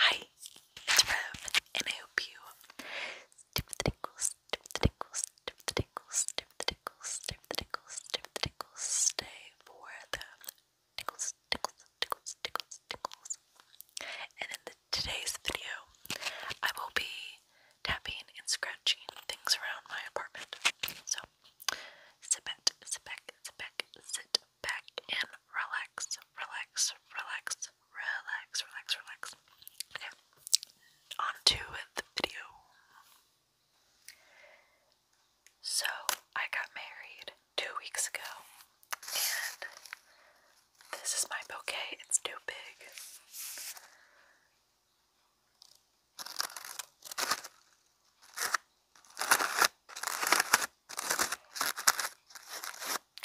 Hi, it's Rev, and I hope you dip the tickles, dip the tickles, dip the tickles, dip the tickles, dip the tickles, dip the tickles, stay for the tickles, tickles, tickles, tickles, tickles. And in the, today's video, I will be tapping and scratching things around my apartment. So, sit back, sit back, sit back, sit back and relax, relax, relax, relax, relax, relax. Okay, on the video. So, I got married two weeks ago, and this is my bouquet. It's too big.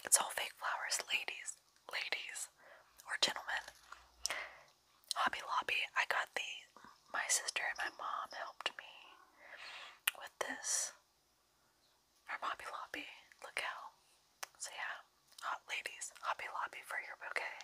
It's all fake flowers, ladies, ladies, or gentlemen. Hobby Lobby, I got the. My sister and my mom helped me with this from Hobby Lobby. Look how. So, yeah, hot ladies, Hobby Lobby for your bouquet.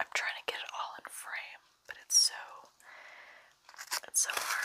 I'm trying to get it all in frame, but it's so it's so hard.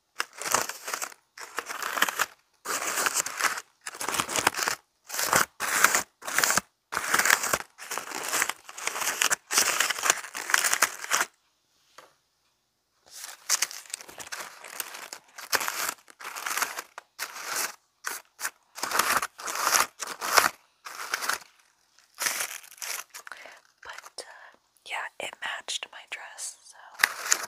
But uh, yeah, it matched my dress, so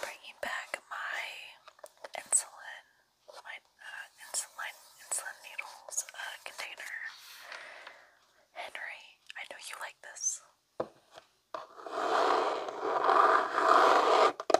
Bringing back my insulin, my uh, insulin, insulin needles uh, container. Henry, I know you like this.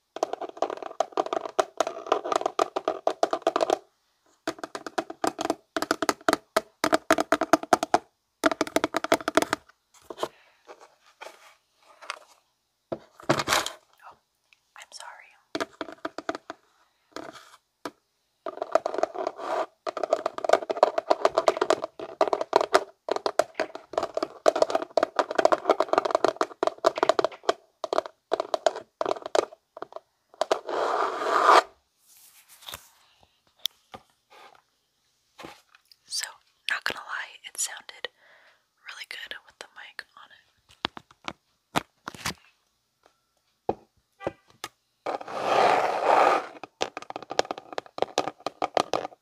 Oh, I'm sorry. So, not gonna lie, it sounded really good with the mic on it.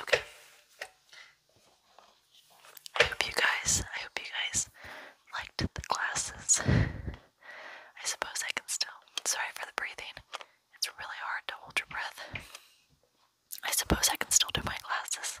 Okay. I hope you guys, I hope you guys liked the classes. I suppose I can still, sorry for the breathing. It's really hard to hold your breath. I suppose I can still do my classes.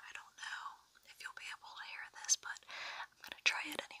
I don't know if you'll be able to hear this, but I'm going to try it anyways.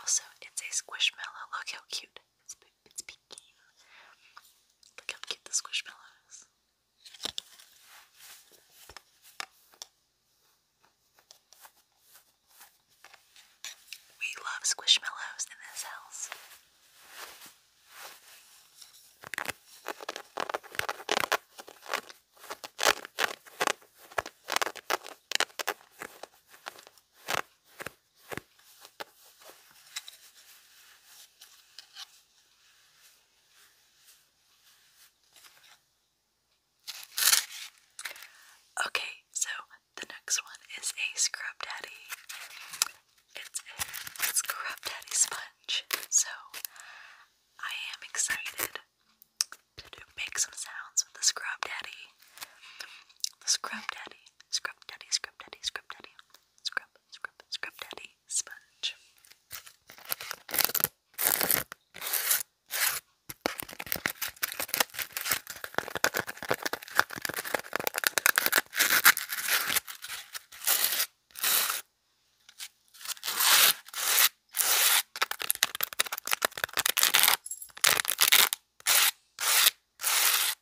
Also, it's a squishmallow. Look how cute. It's peeking. Look how cute the squishmallow We love squishmallows in this house. Okay, so the next one is a scrub daddy. It's a scrub daddy sponge. So I am excited to make some sounds with the scrub daddy. The scrub daddy, scrub daddy, scrub daddy, scrub daddy. Scrub, scrub, scrub daddy sponge.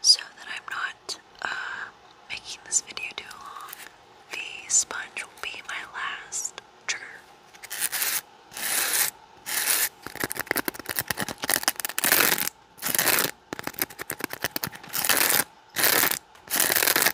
So that I'm not uh, making this video too long, the sponge will be my last trigger.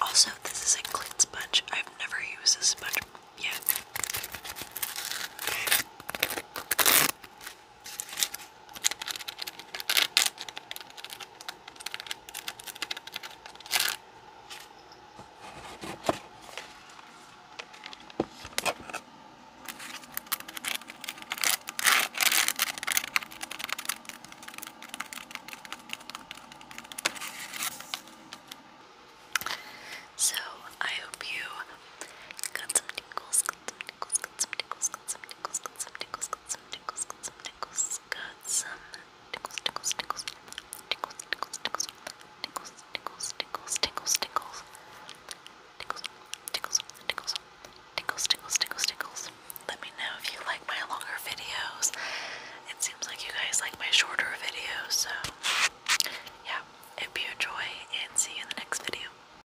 Also, this is a clean sponge. I've never used this sponge yet. So I hope you got some tingles, got some tingles, got some tingles, got some tickles, got some tickles, got some tickles, got some tickles, got some tickles, tickles, tickles, tickles, tickles, tickles, tickles, tickles, tickles, tickles, tickles, tickles, tickles, tickles, tickles, tickles, tickles, tickles. Let me know if you like my longer videos. It seems like you guys like my shorter videos, so yeah, it'd be a joy and see you in the next video.